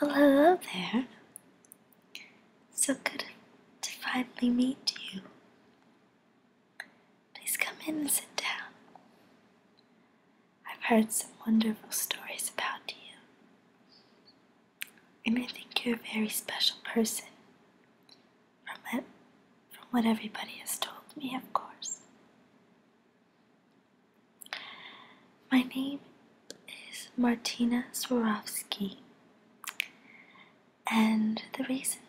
Well, hello there. So good to finally meet you. Please come in and sit down. I've heard some wonderful stories about you, and I think you're a very special person. From it, from what everybody has told me, of course. My name is Martina Swarovski, and the reason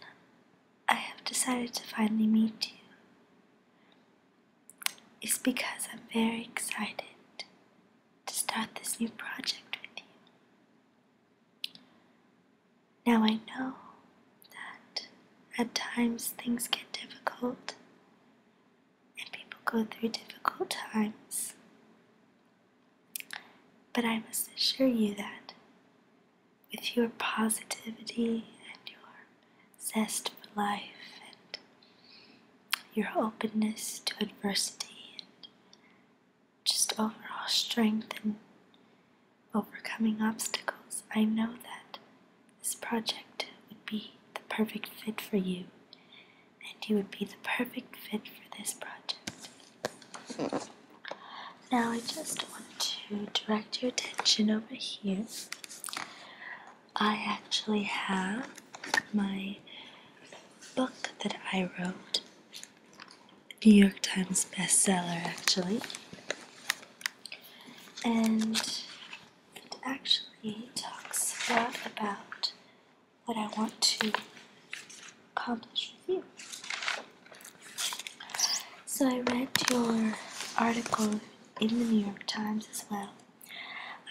I have decided to finally meet you is because I'm very excited to start this new project with you. Now I know that at times things get difficult and people go through difficult times. But I must assure you that with your positivity and your zest for life and your openness to adversity and just overall strength and overcoming obstacles, I know that this project would be the perfect fit for you, and you would be the perfect fit for this project. Now, I just want to direct your attention over here. I actually have my book that I wrote, New York Times bestseller, actually. And and actually talks a lot about what I want to accomplish with you. So I read your article in the New York Times as well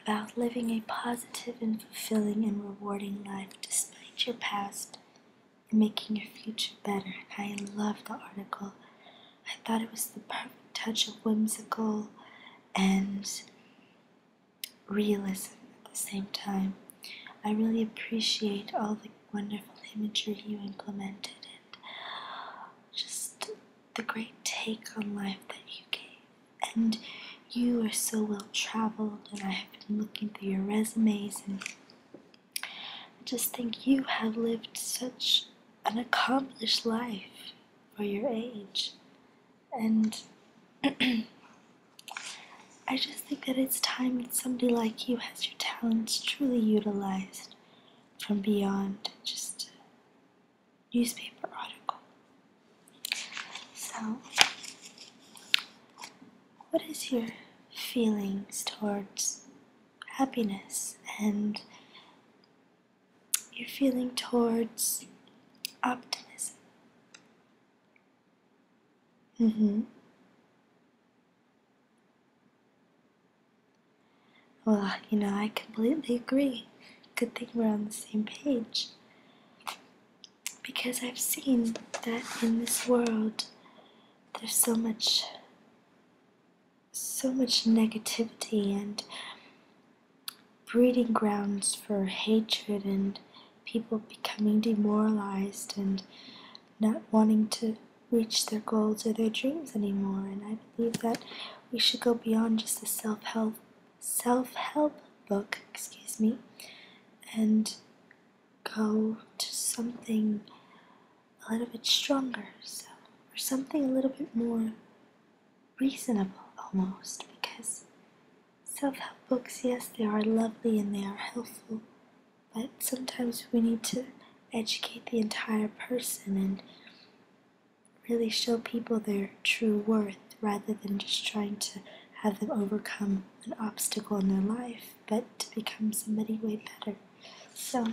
about living a positive and fulfilling and rewarding life despite your past and making your future better. I loved the article. I thought it was the perfect touch of whimsical and realism at the same time. I really appreciate all the wonderful imagery you implemented and just the great take on life that you gave. And you are so well traveled, and I have been looking through your resumes, and I just think you have lived such an accomplished life for your age. And I just think that it's time that somebody like you has your talents truly utilized from beyond just a newspaper article. So, what is your feelings towards happiness and your feeling towards optimism. Mm-hmm. Well, you know, I completely agree. Good thing we're on the same page. Because I've seen that in this world, there's so much so much negativity and breeding grounds for hatred and people becoming demoralized and not wanting to reach their goals or their dreams anymore and i believe that we should go beyond just the self-help self-help book excuse me and go to something a little bit stronger or something a little bit more reasonable almost because self help books, yes, they are lovely and they are helpful, but sometimes we need to educate the entire person and really show people their true worth rather than just trying to have them overcome an obstacle in their life, but to become somebody way better. So,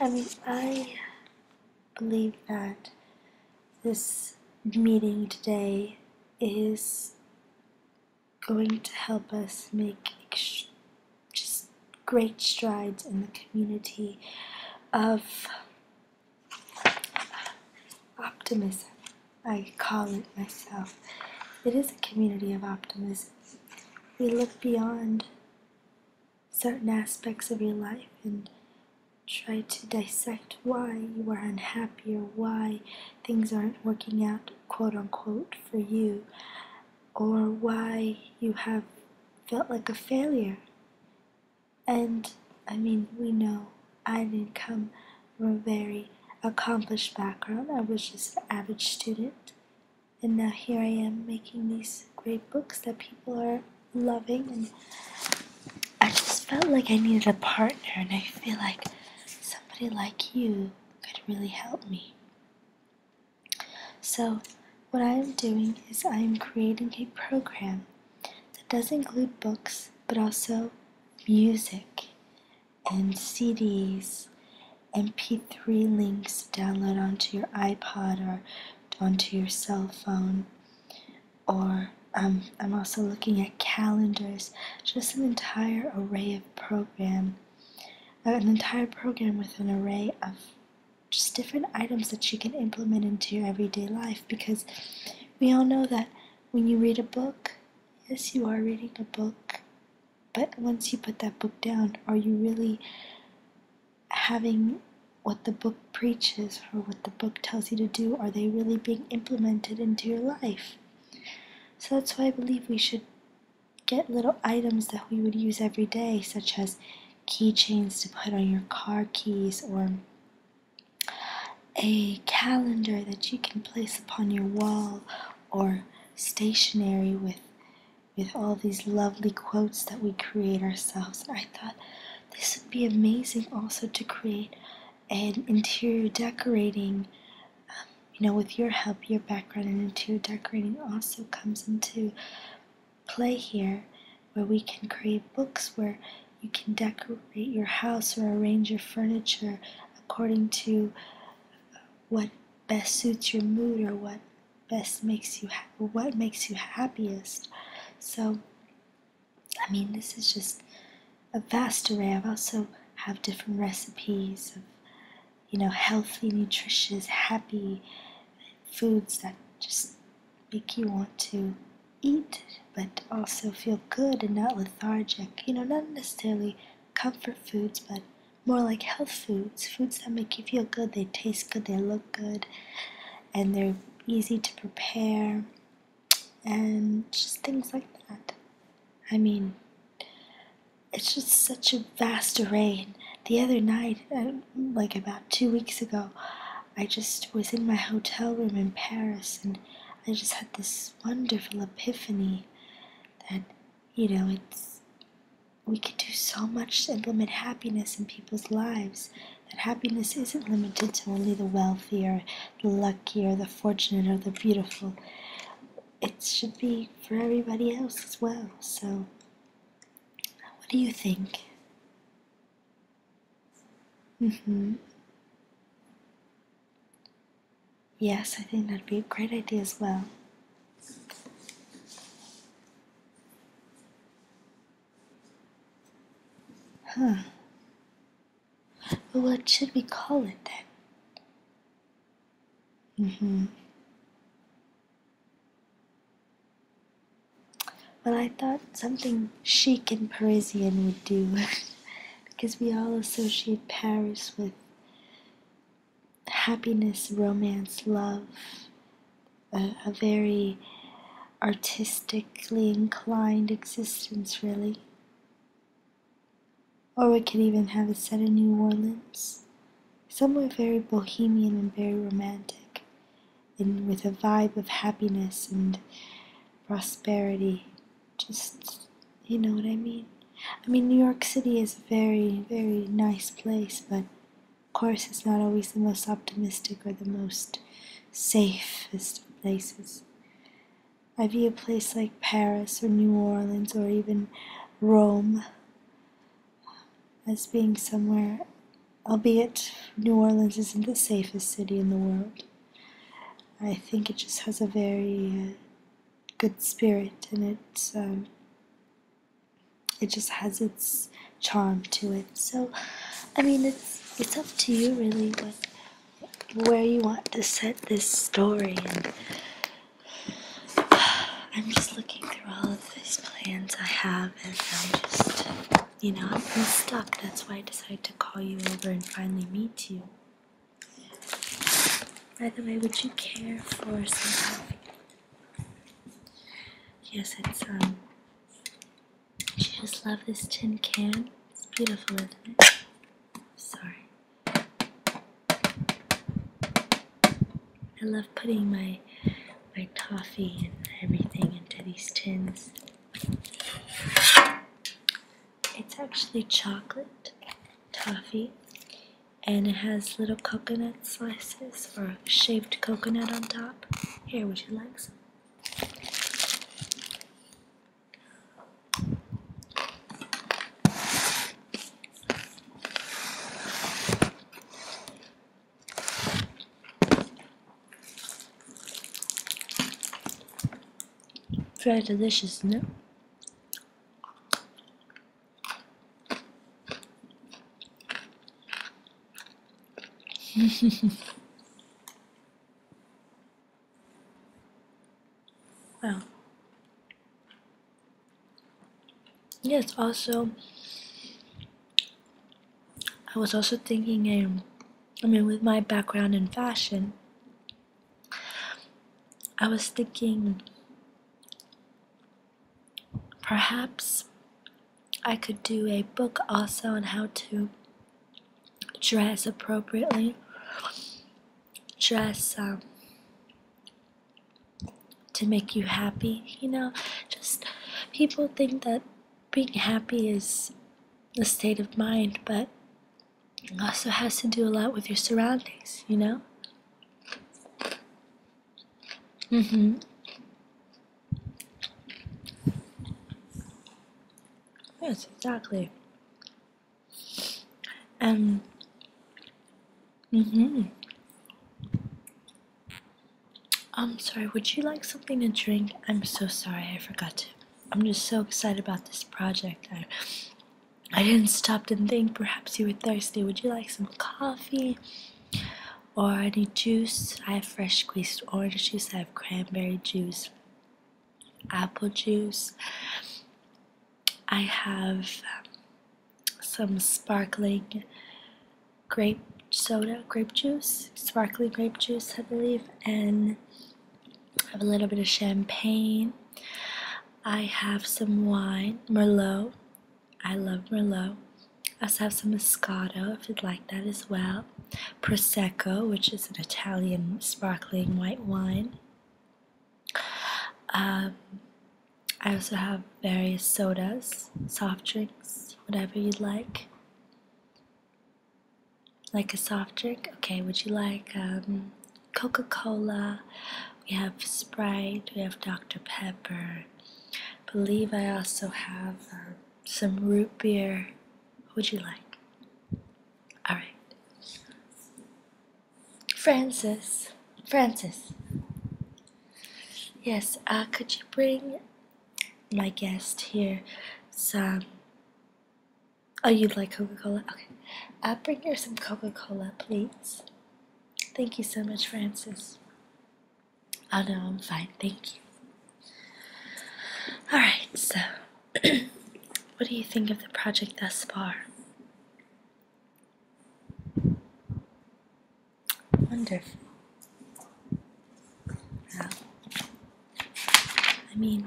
I mean, I believe that this meeting today is going to help us make just great strides in the community of optimism. I call it myself. It is a community of optimism. We look beyond certain aspects of your life and try to dissect why you are unhappy or why things aren't working out, quote unquote, for you, or why you have felt like a failure. And I mean, we know I didn't come from a very accomplished background, I was just an average student and now here I am making these great books that people are loving and I just felt like I needed a partner and I feel like somebody like you could really help me. So what I am doing is I am creating a program that does include books but also music and CDs MP3 links download onto your iPod or onto your cell phone. Or um, I'm also looking at calendars, just an entire array of program, uh, an entire program with an array of just different items that you can implement into your everyday life because we all know that when you read a book, yes, you are reading a book, but once you put that book down, are you really having what the book preaches or what the book tells you to do? Are they really being implemented into your life? So that's why I believe we should get little items that we would use every day, such as keychains to put on your car keys or a calendar that you can place upon your wall or stationery with with all these lovely quotes that we create ourselves. I thought this would be amazing also to create an interior decorating. Um, you know, with your help, your background and interior decorating also comes into play here, where we can create books where you can decorate your house or arrange your furniture according to what best suits your mood or what best makes you ha what makes you happiest. So, I mean, this is just a vast array. I've also have different recipes of, you know, healthy, nutritious, happy foods that just make you want to eat, but also feel good and not lethargic. You know, not necessarily comfort foods, but more like health foods foods that make you feel good they taste good they look good and they're easy to prepare and just things like that i mean it's just such a vast array and the other night um, like about two weeks ago i just was in my hotel room in paris and i just had this wonderful epiphany that you know it's we can do so much to implement happiness in people's lives that happiness isn't limited to only the wealthy or the lucky the fortunate or the beautiful. It should be for everybody else as well. So, what do you think? Mm hmm. Yes, I think that'd be a great idea as well. Huh. What should we call it then? hmm Well, I thought something chic and Parisian would do, because we all associate Paris with happiness, romance, love, a, very artistically inclined existence, really. Or we could even have a set in New Orleans, somewhere very bohemian and very romantic, and with a vibe of happiness and prosperity. Just, you know what I mean? I mean, New York City is a very, very nice place, but of course, it's not always the most optimistic or the most safest of places. I view a place like Paris or New Orleans or even Rome as being somewhere, albeit New Orleans isn't the safest city in the world. I think it just has a very uh, good spirit in it, Um, it just has its charm to it. So, I mean, it's it's up to you really what where you want to set this story. I'm just looking through all of these plans I have, and I'm just, you know, i am stuck. That's why I decided to call you over and finally meet you. By the way, would you care for some coffee? Yes, it's um. She just love this tin can. It's beautiful, isn't it? Sorry. I love putting my my toffee and everything into these tins. It's actually chocolate toffee and it has little coconut slices or shaved coconut on top. Here, would you like some? Very delicious, no? Well, Yes, also, I was also thinking, um, I mean, with my background in fashion, I was thinking perhaps I could do a book also on how to dress appropriately, dress um, to make you happy. You know, just people think that being happy is a state of mind, but it also has to do a lot with your surroundings, you know? Mm hmm. Yes, exactly. And, um, mm hmm. I'm um, sorry, would you like something to drink? I'm so sorry, I forgot to. I'm just so excited about this project. I, I didn't stop to think perhaps you were thirsty. Would you like some coffee or any juice? I have fresh squeezed orange juice, I have cranberry juice, apple juice, I have um, some sparkling grape soda, grape juice, sparkling grape juice, I believe, and I have a little bit of champagne. I have some wine, Merlot. I love Merlot. I also have some Moscato, if you'd like that as well. Prosecco, which is an Italian sparkling white wine. Um, I also have various sodas, soft drinks, whatever you'd like. Like a soft drink? Okay, would you like um, Coca Cola, we have Sprite, we have Dr. Pepper. believe I also have um, some root beer. would you like? Alright. Francis, Francis. Yes, uh, could you bring my guest here some Oh, you'd like Coca Cola? Okay. I'll bring her some Coca Cola, please. Thank you so much, Francis. Oh, no, I'm fine. Thank you. Alright, so what do you think of the project thus far? Wonderful. I mean,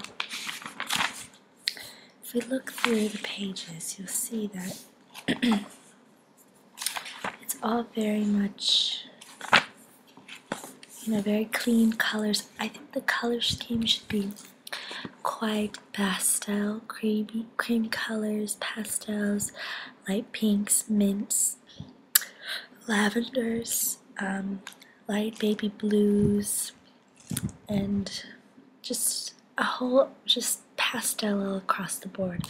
if we look through the pages, you'll see that it's all very much, you know, very clean colors. I think the color scheme should be quite pastel, creamy, cream colors, pastels, light pinks, mints, lavenders, um, light baby blues and just a whole just pastel across the board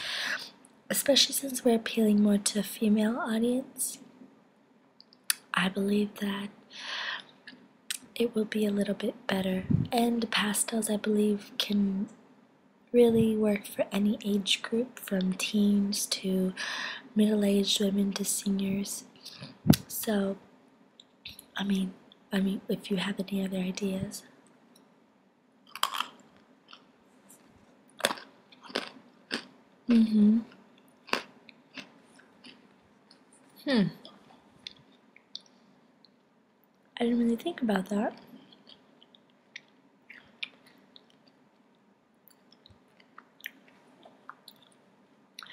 especially since we're appealing more to female audience i believe that it will be a little bit better and pastels i believe can really work for any age group from teens to middle-aged women to seniors so I mean, I mean, if you have any other ideas. Mm-hmm. Hmm. I didn't really think about that.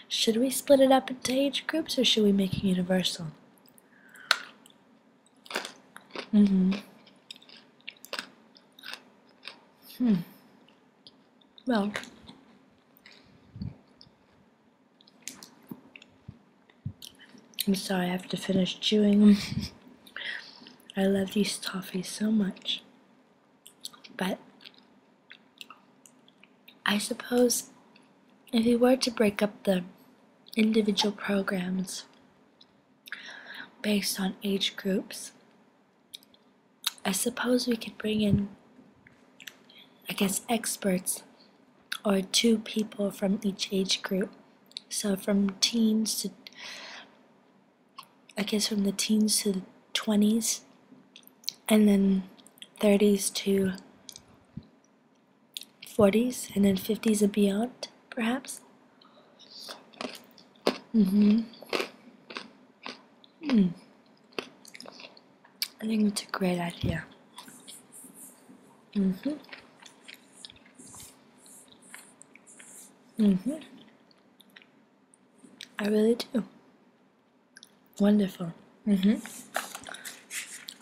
Should we split it up into age groups or should we make it universal? Mm-hmm. Hmm. Well, I'm sorry I have to finish chewing I love these toffees so much. But I suppose if we were to break up the individual programs based on age groups, I suppose we could bring in, I guess, experts or two people from each age group. So from teens to, I guess, from the teens to the 20s, and then 30s to 40s, and then 50s and beyond, perhaps. Mm-hmm. Hmm. I think it's a great idea. Mm-hmm. Mm-hmm. I really do. Wonderful. Mm-hmm.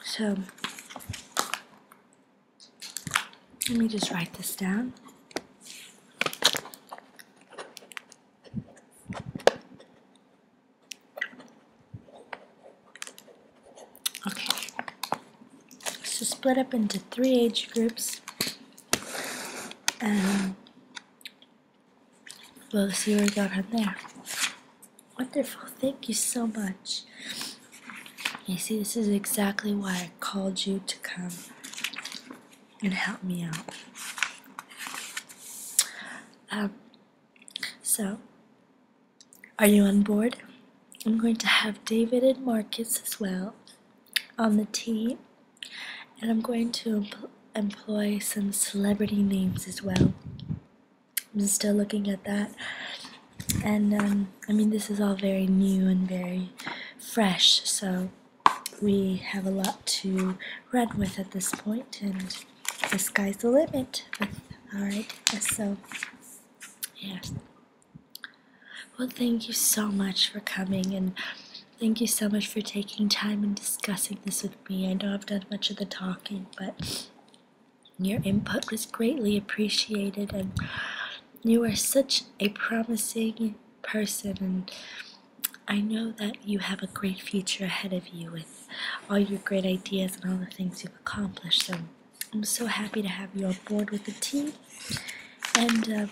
So let me just write this down. Okay. So split up into three age groups. And well, see where we got from there. Wonderful, thank you so much. You see, this is exactly why I called you to come and help me out. Um, so, are you on board? I'm going to have David and Marcus as well on the team, and I'm going to employ some celebrity names as well. I'm still looking at that. And um, I mean, this is all very new and very fresh, so we have a lot to run with at this point, and the sky's the limit All right. So, yes. Well, thank you so much for coming, and thank you so much for taking time and discussing this with me. I know I've done much of the talking, but your input was greatly appreciated, and you are such a promising person. And I know that you have a great future ahead of you with all your great ideas and all the things you've accomplished. So I'm so happy to have you on board with the team. And uh,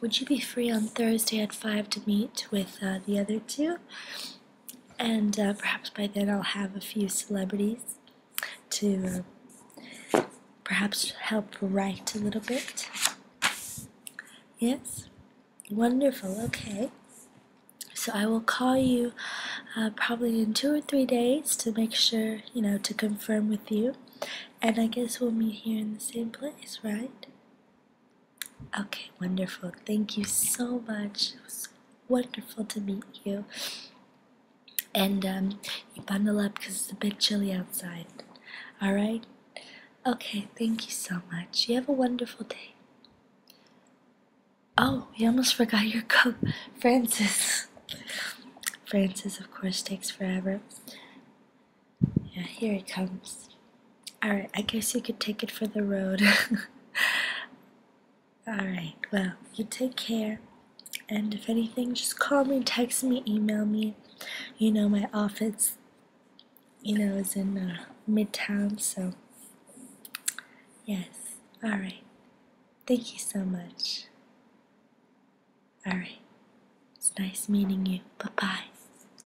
would you be free on Thursday at 5 to meet with uh, the other two? and uh, perhaps by then I'll have a few celebrities to perhaps help write a little bit. Yes, wonderful. Okay, so I will call you uh, probably in two or three days to make sure you know to confirm with you, and I guess we'll meet here in the same place, right? Okay, wonderful. Thank you so much. It was wonderful to meet you. And um, you bundle up because it's a bit chilly outside. All right? Okay, thank you so much. You have a wonderful day. Oh, we almost forgot your coat, Francis. Francis, of course, takes forever. Yeah, here it comes. Alright, I guess you could take it for the road. Alright, well, you take care. And if anything, just call me, text me, email me. You know, my office, you know, is in uh, Midtown, so yes. Alright. Thank you so much. Alright. It's nice meeting you. Bye bye.